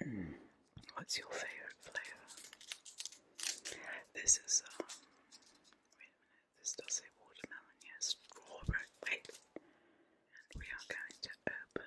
Hmm. What's your favorite flavor? This is um. This does say watermelon. Yes, strawberry. Wait. we are going to open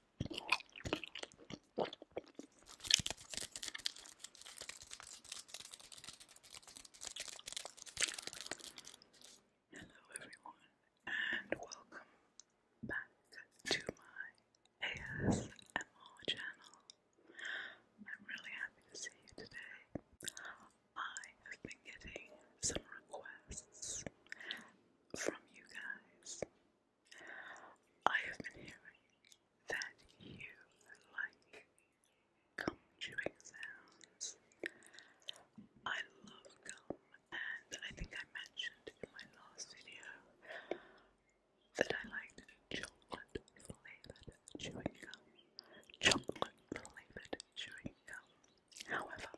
Hello everyone and welcome back to my ASMR channel. I'm really happy to see you today. I have been getting some requests from you guys. I have been hearing that you like gum chewing sounds. I love gum, and I think I mentioned in my last video that I like chocolate flavored chewing gum. Chocolate flavored chewing gum. However,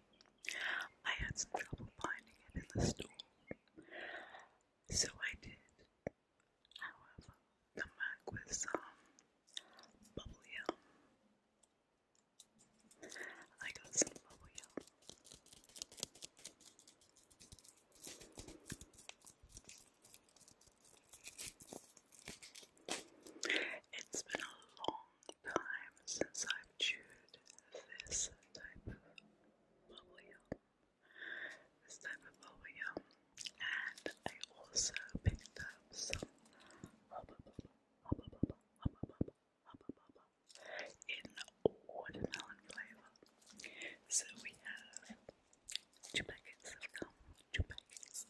I had some trouble finding it in the store, so I did. However, come back with some bubble yum. I got some bubble yum. It's been a long time since I've chewed this type of bubble This type of bubble And I also picked up some in watermelon flavor. So we have two packets of gum, two packets.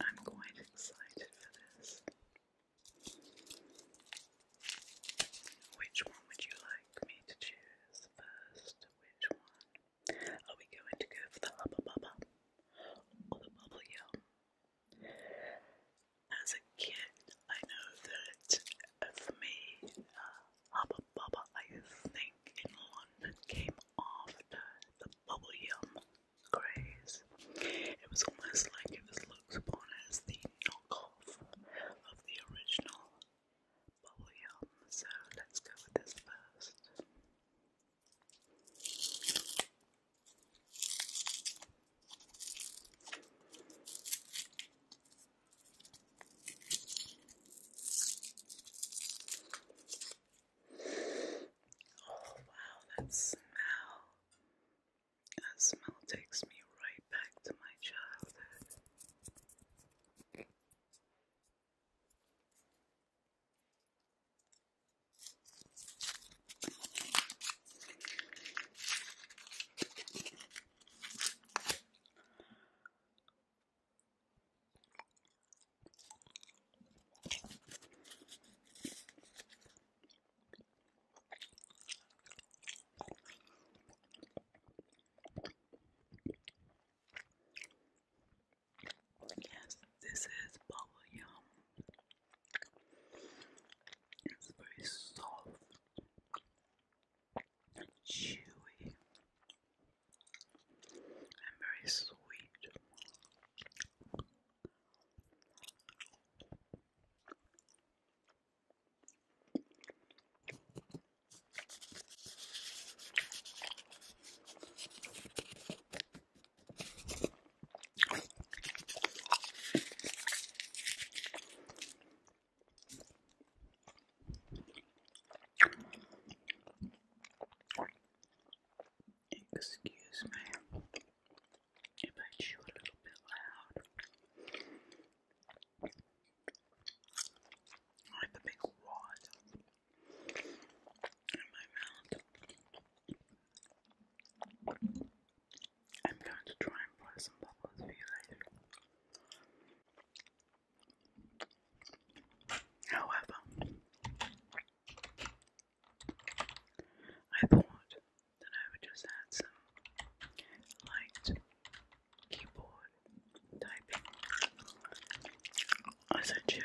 I'm quite excited for this. Which one would you like me to choose first? Which one? Are we going to go for the Hubba Bubba or the Bubble Yum? As a kid, I know that for me, uh, Hubba Bubba, I think, in London came after the bubble yum craze. It was almost like it was looked upon as the knockoff of the original bubble yum, so let's go with this first. Oh, wow, that smell. That smell takes me right back to my childhood. Yes, this is bubble yum. It's very soft and chewy. I'm very sweet. Excuse me if I chew a little bit loud. I have a big wad in my mouth. I'm going to try and pour some bubbles for you later. However, I thought that I would just add some light keyboard typing as I should.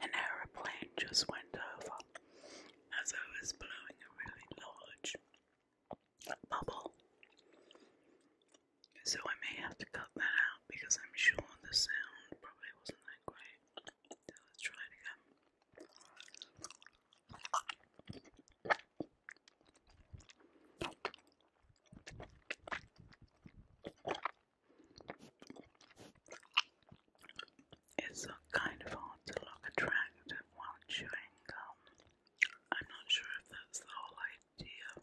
An aeroplane just went over as I was blowing a really large bubble. So I may have to cut that out because I'm sure the sound probably wasn't that great. let's try it again. It's kind of hard to look attractive while chewing I'm not sure if that's the whole idea.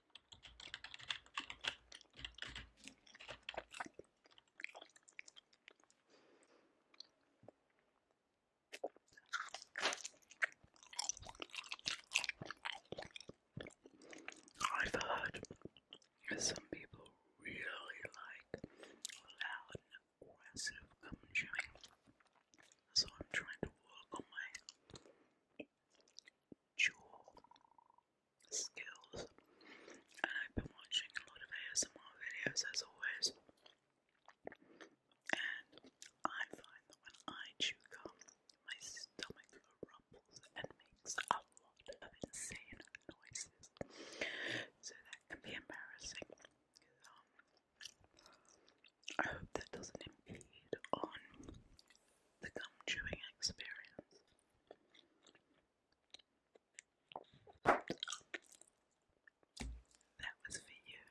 I've heard some people really like loud aggressive gum chewing, so I'm trying to work on my jaw skills. And I've been watching a lot of ASMR videos as always. And I find that when I chew gum, my stomach rumbles and makes a lot of insane noises. So that can be embarrassing. Um, I hope that doesn't impede on the gum chewing experience. That was for you.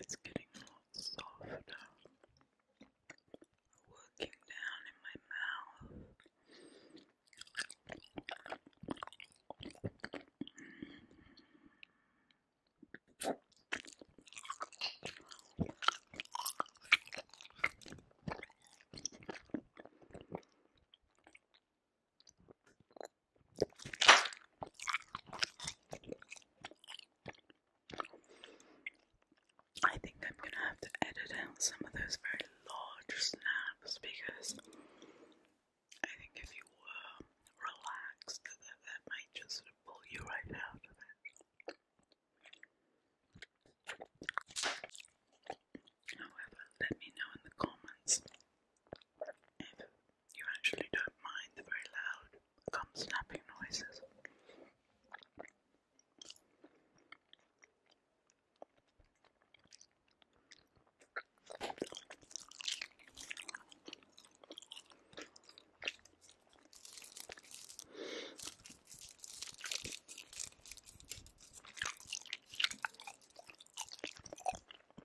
It's getting a lot softer. Working down in my mouth. I think I'm gonna have to edit out some of those very large snaps because I think if you were relaxed, that, might just sort of pull you right out of it. However, let me know in the comments if you actually don't mind the very loud come snapping noises.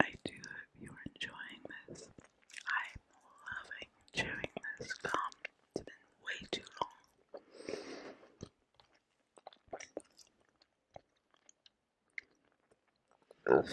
I do hope you're enjoying this. I'm loving chewing this gum. It's been way too long.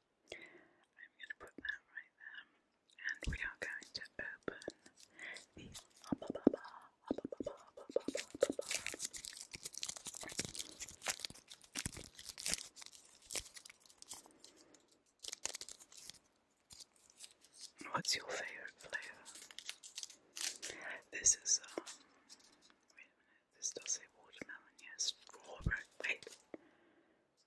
I'm going to put that right there, and we are going to open What's your favorite flavor? This is um. a This does say watermelon. Yes, strawberry. Wait.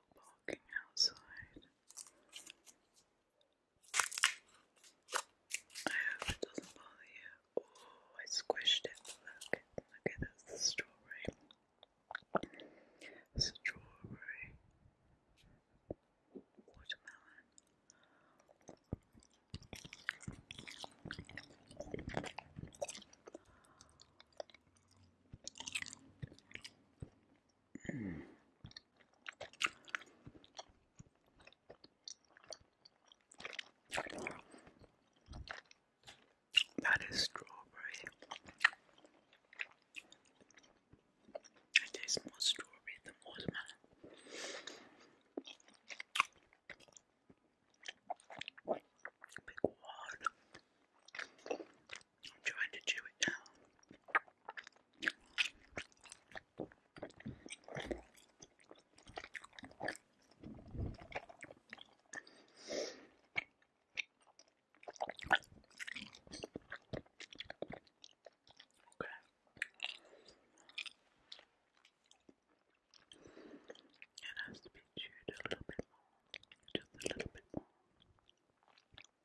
people outside. I hope it doesn't bother you. Oh, I squished it. Look, look at that's strawberry. Strawberry, that is strawberry. It tastes more strawberry than watermelon. I'm trying to chew it down. Okay. It has to be chewed a little bit more, just a little bit more.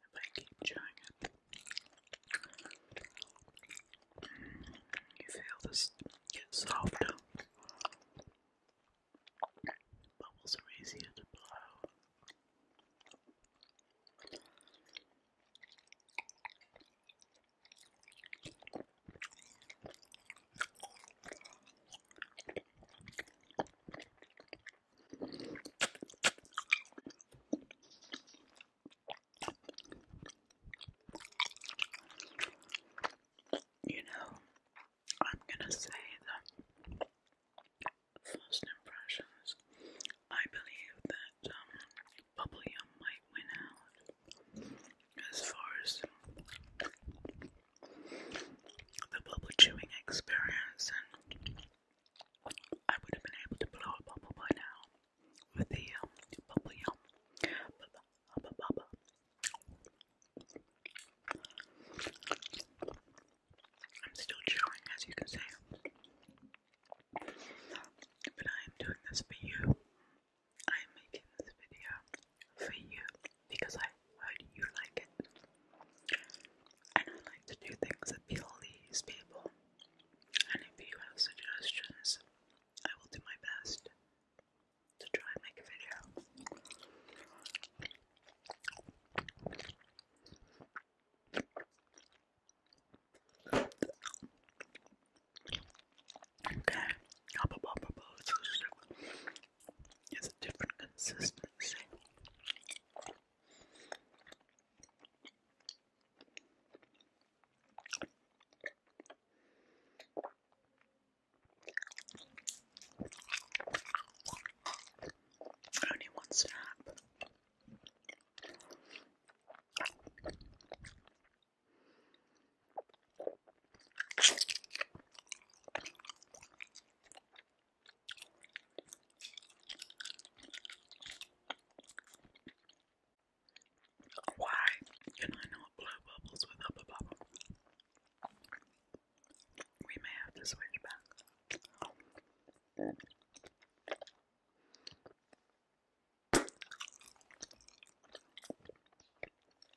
If I keep trying, it, you feel this get softer. Bubbles are easier to blow. You know, I'm gonna say that first impressions, I believe that um, Bubbly might win out as far as the bubble chewing experience, and I would have been able to blow a bubble by now with the um, bubble yum. I'm still chewing, as you can see, but I am doing this for you. I am making this video for you because I heard you like it. I like to do things that appeal people. And if you have suggestions, I will do my best to try and make a video. Okay, it's a different consistency. Only one snap. Why can I not blow bubbles with up bubble? We may have to switch back. I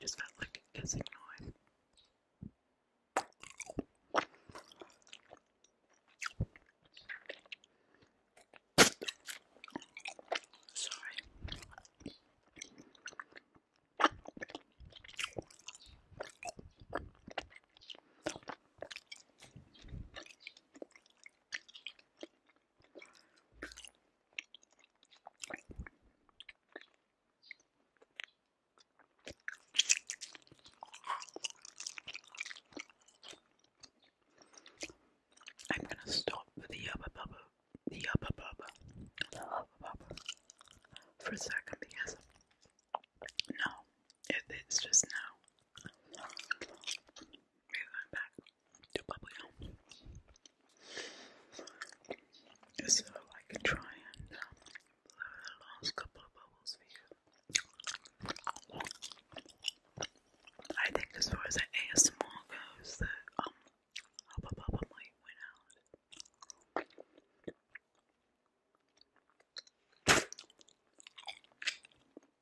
just felt like a hissing noise. Sorry. I'm gonna stop with the upper bubble, the upper bubble, the upper bubble for a second because now it, it's just now. We're going back to bubblegum. So I can try and blow the last couple of bubbles I think as far as the ASMR goes, the um, Hubba Bubba might win out.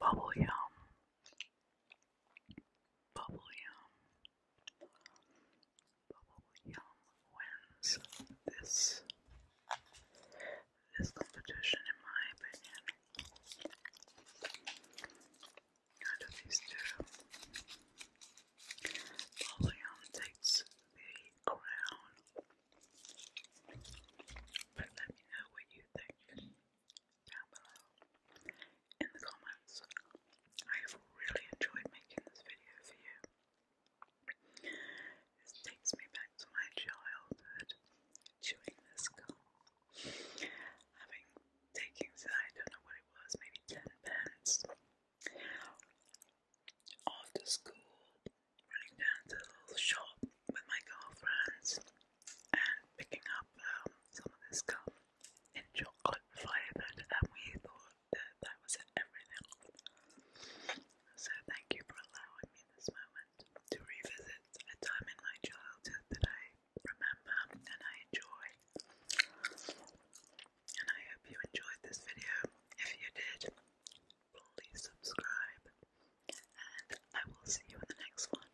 Bubble yum. Bubble yum. Bubblegum wins this this competition in my opinion. Out of these two, Bubblegum takes the crown. But let me know what you think down below in the comments. I have really enjoyed making this video for you. This takes me back to my childhood, chewing this gum, having taken, I don't know what it was, maybe 10 pence, after school, running down to the little shop with my girlfriends and picking up um, some of this gum and chocolate flavoured, and we thought that that was everything. So, thank you for allowing me this moment to revisit a time in my childhood that I remember and I enjoy. And I hope you enjoyed this video. If you did, please subscribe, and I will see you in the next one.